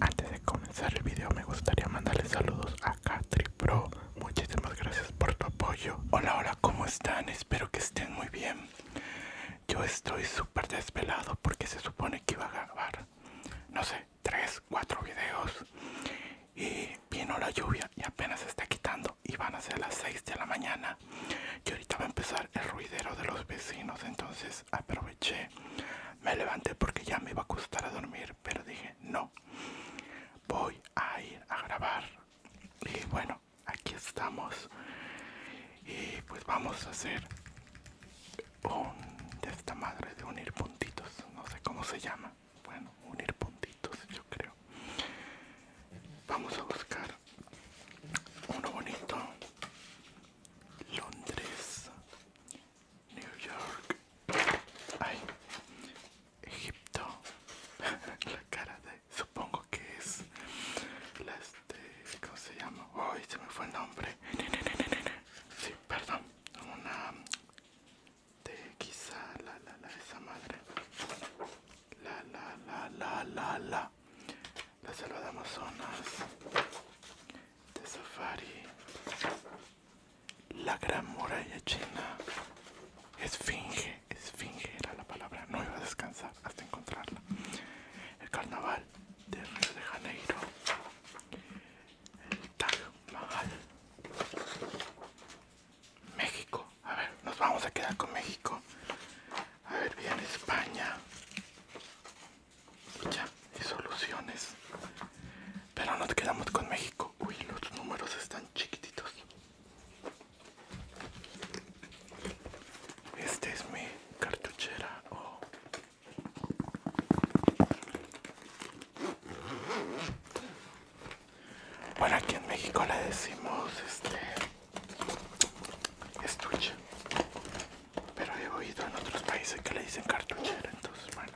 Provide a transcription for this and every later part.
Antes de comenzar el video me gustaría mandarles saludos a Katri Pro. Muchísimas gracias por tu apoyo. Hola, hola, ¿cómo están? Espero que estén muy bien. Yo estoy súper desvelado porque se supone que iba a grabar. No sé, 3, 4 videos y vino la lluvia y apenas se está quitando y van a ser las 6 de la mañana y ahorita va a empezar el ruidero de los vecinos entonces aproveché me levanté porque ya me iba a costar a dormir pero dije no voy a ir a grabar y bueno aquí estamos y pues vamos a hacer un de esta madre de unir puntitos no sé cómo se llama bueno, unir puntitos, yo creo. Vamos a buscar uno bonito. Londres, New York, Egipto. La cara de, supongo que es la este, ¿cómo se llama? Ay, se me fue el nombre. Sí, perdón, una de quizá la la la esa madre la la la la la la la selva de amazonas de safari la gran muralla china esfinge esfinge era la palabra no iba a descansar hasta encontrarla el carnaval de río de janeiro Taj Mahal. México. A ver, nos vamos a quedar con México. A ver, bien, España. Ya, y soluciones. Pero nos quedamos con México. Uy, los números están chiquititos. Este es mi cartuchera o oh. Bueno, aquí en México le decimos este estuche, pero he oído en otros países que le dicen cartuchera, entonces bueno.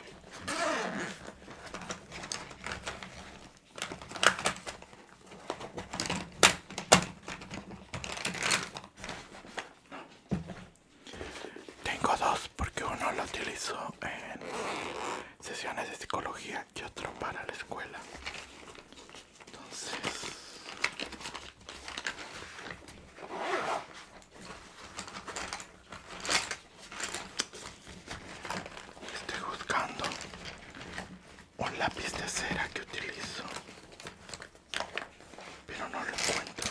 Tengo dos porque uno lo utilizo en sesiones de psicología y otro para la escuela. Entonces... Estoy buscando un lápiz de cera que utilizo, pero no lo encuentro.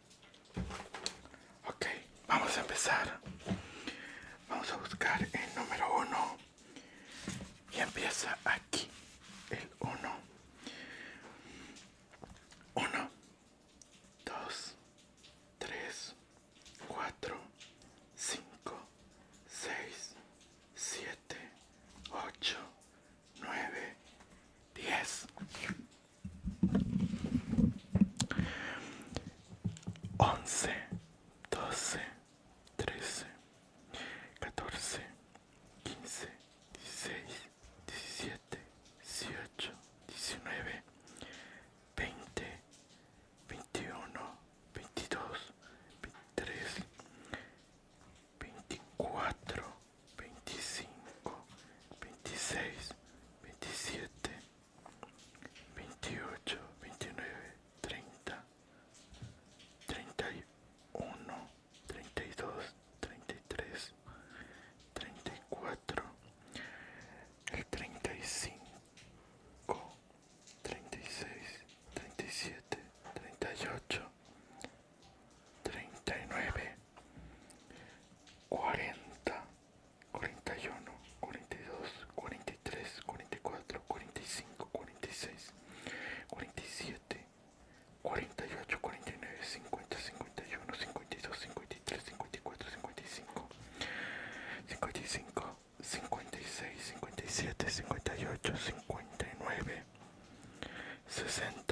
Ok, vamos a empezar. Vamos a buscar el número 1 y empieza aquí el 1. 1, 2, 3, 4, 5, 6, 7, 8, 9, 10. 11, 12, 13, 14, 15, 16, 17, 18, 19, 20, 21, 22, 23, 24 25 26 27 28 29 30 31 32 33 34 35 36 37 38 39 40 41 42 43 44 45 46 47 48 49 50 51 52 53 54 55 55 56 57 58 59 60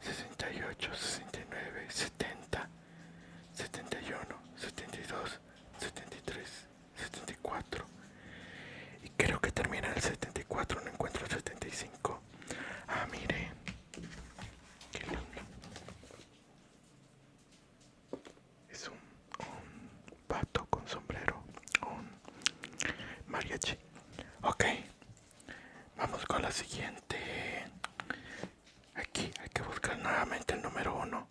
68, 69, 70, 71, 72, 73, 74. Y creo que termina el 74, no encuentro el 75. Ah, mire. Qué Es un, un pato con sombrero. Un mariachi. Ok, Vamos con la siguiente. Aquí hay que buscar nuevamente el número uno.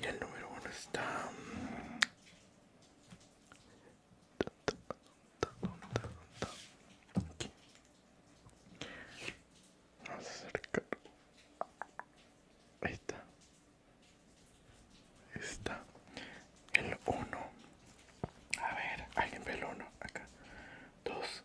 Y el número uno está... Aquí. Vamos a acercar. Ahí está. está. El uno A ver, alguien ve el uno Acá. dos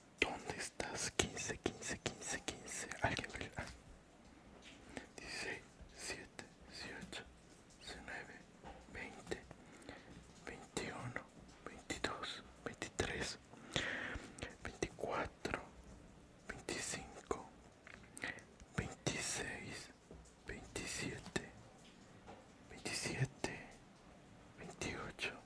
¿Dónde estás? 15, 15, 15, 15. Alguien 16, 7, 18, 19, 20, 21, 22, 23, 24, 25, 26, 27, 27, 28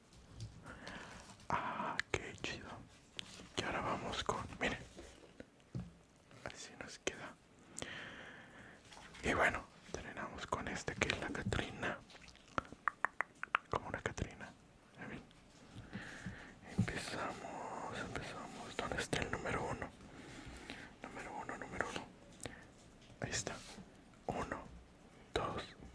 Ah, qué chido. Y ahora vamos con, miren, así nos queda. Y bueno, terminamos con este que es la Catrina. Como una Catrina. Empezamos, empezamos. ¿Dónde está el número uno? Número uno, número uno. Ahí está. Uno, dos,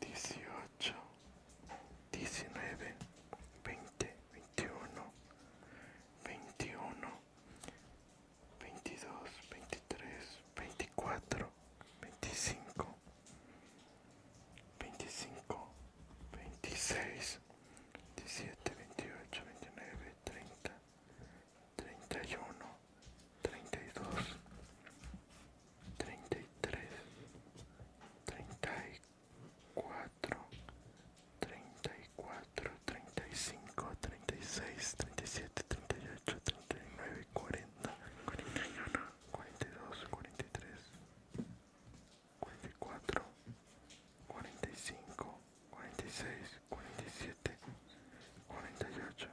dieciocho, diecinueve, veinte, veintiuno, veintiuno, veintidós, veintitrés, veinticuatro, veinticinco, veinticinco, veintiséis, diecisiete, 28, 29, 30, treinta y uno, treinta y dos, treinta y tres, treinta y cuatro, treinta y cuatro, treinta y cinco, treinta y seis, treinta y siete, treinta y ocho, treinta y nueve, cuarenta, cuarenta y dos, cuarenta y tres, cuarenta y cuatro, cuarenta y cinco, cuarenta y seis, cuarenta y siete, cuarenta y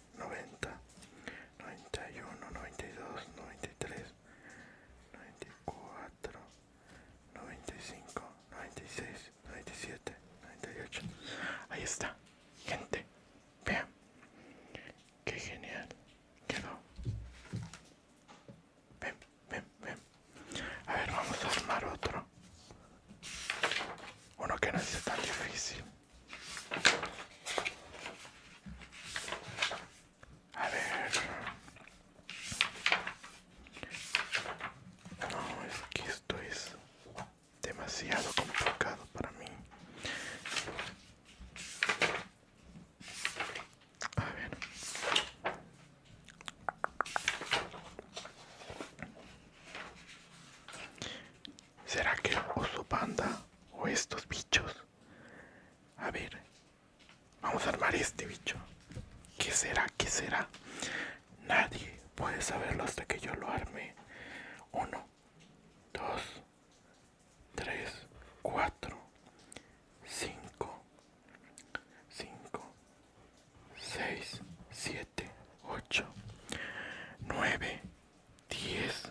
90 91 92 93 94 95 96 97 98 ahí está gente vean qué genial quedó ven ven ven a ver vamos a armar otro uno que no es tan difícil a ver. No, es que esto es demasiado complicado para mí. A ver. ¿Será que el oso panda o estos bichos. A ver. Vamos a armar este bicho. ¿Qué será? ¿Qué será? Nadie puede saberlo hasta que yo lo arme. Uno, dos, tres, cuatro, cinco, cinco, seis, siete, ocho, nueve, diez.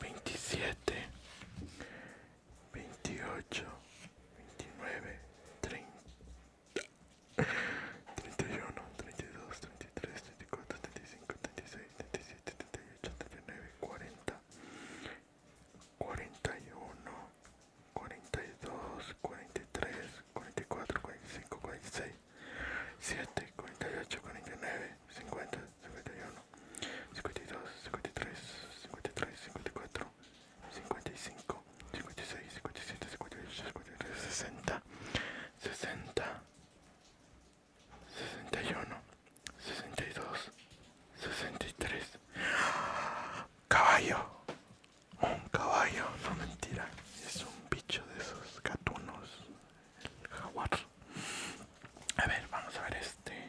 veintisiete, veintiocho, veintinueve, treinta, treinta y uno, treinta y dos, treinta y tres, treinta y cuatro, treinta y cinco, treinta y seis, treinta y siete, treinta y ocho, treinta y nueve, cuarenta, cuarenta y uno, cuarenta y dos, cuarenta y tres, cuarenta y cuatro, cuarenta y cinco, cuarenta y seis, siete, cuarenta y ocho, cuarenta y nueve. 50, 51, 52, 53, 53, 54, 55, 56, 57, 58, 59, 60, 60, 61, 62, 63. Caballo, un caballo, no mentira, es un bicho de esos gatunos, el jaguar. A ver, vamos a ver este.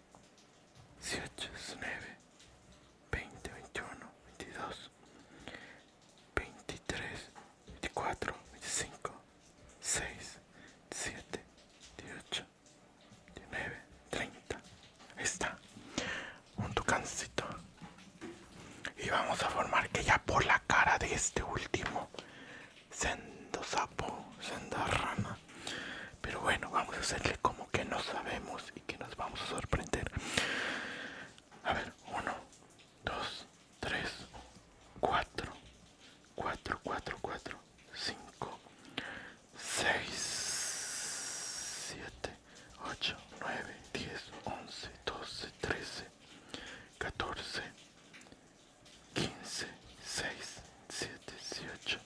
18, 19, 20, 21, 22, 23, 24, 25, 6, 7, 18, 19, 30. Ahí está. Un tucancito. Y vamos a formar que ya por la cara de este último. Sendo sapo, senda rama. Pero bueno, vamos a hacerle como que no sabemos y que nos vamos a sorprender. A ver, 1, 2, 3, 4, 4, 4, 4, 5, 6, 7, 8, 9, 10, 11, 12, 13, 14, 15, 6, 7, 18.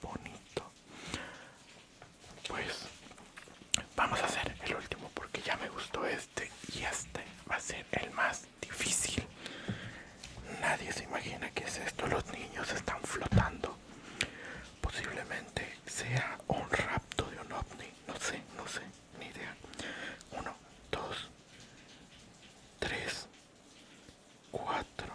bonito pues vamos a hacer el último porque ya me gustó este y este va a ser el más difícil nadie se imagina que es esto los niños están flotando posiblemente sea un rapto de un ovni no sé no sé ni idea uno dos tres cuatro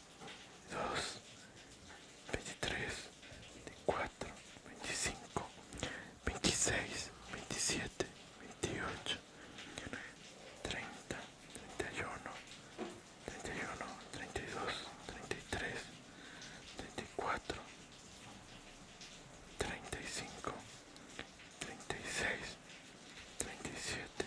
23, 24, 25, 26, 27, 28, 30, 31, 31, 32, 33, 34, 35, 36, 37,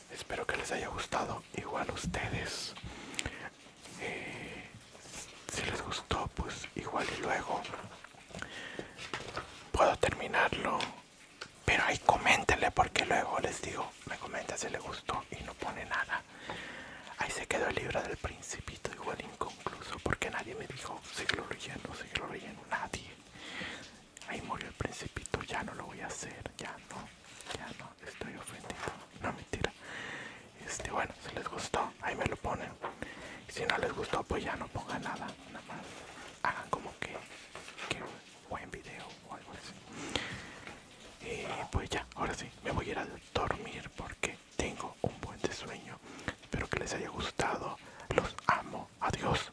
espero que les haya gustado igual ustedes eh, si les gustó pues igual y luego puedo terminarlo pero ahí coméntenle porque luego les digo me comenta si les gustó y no pone nada ahí se quedó el libro del principito igual inconcluso porque nadie me dijo siglo relleno lo relleno nadie ahí murió el principito ya no lo voy a hacer ya no ya no estoy ofendido no mentira este bueno si les gustó ahí me lo ponen si no les gustó pues ya no pongan nada nada más hagan como que, buen video o algo así y pues ya ahora sí me voy a ir a dormir porque tengo un buen sueño espero que les haya gustado los amo adiós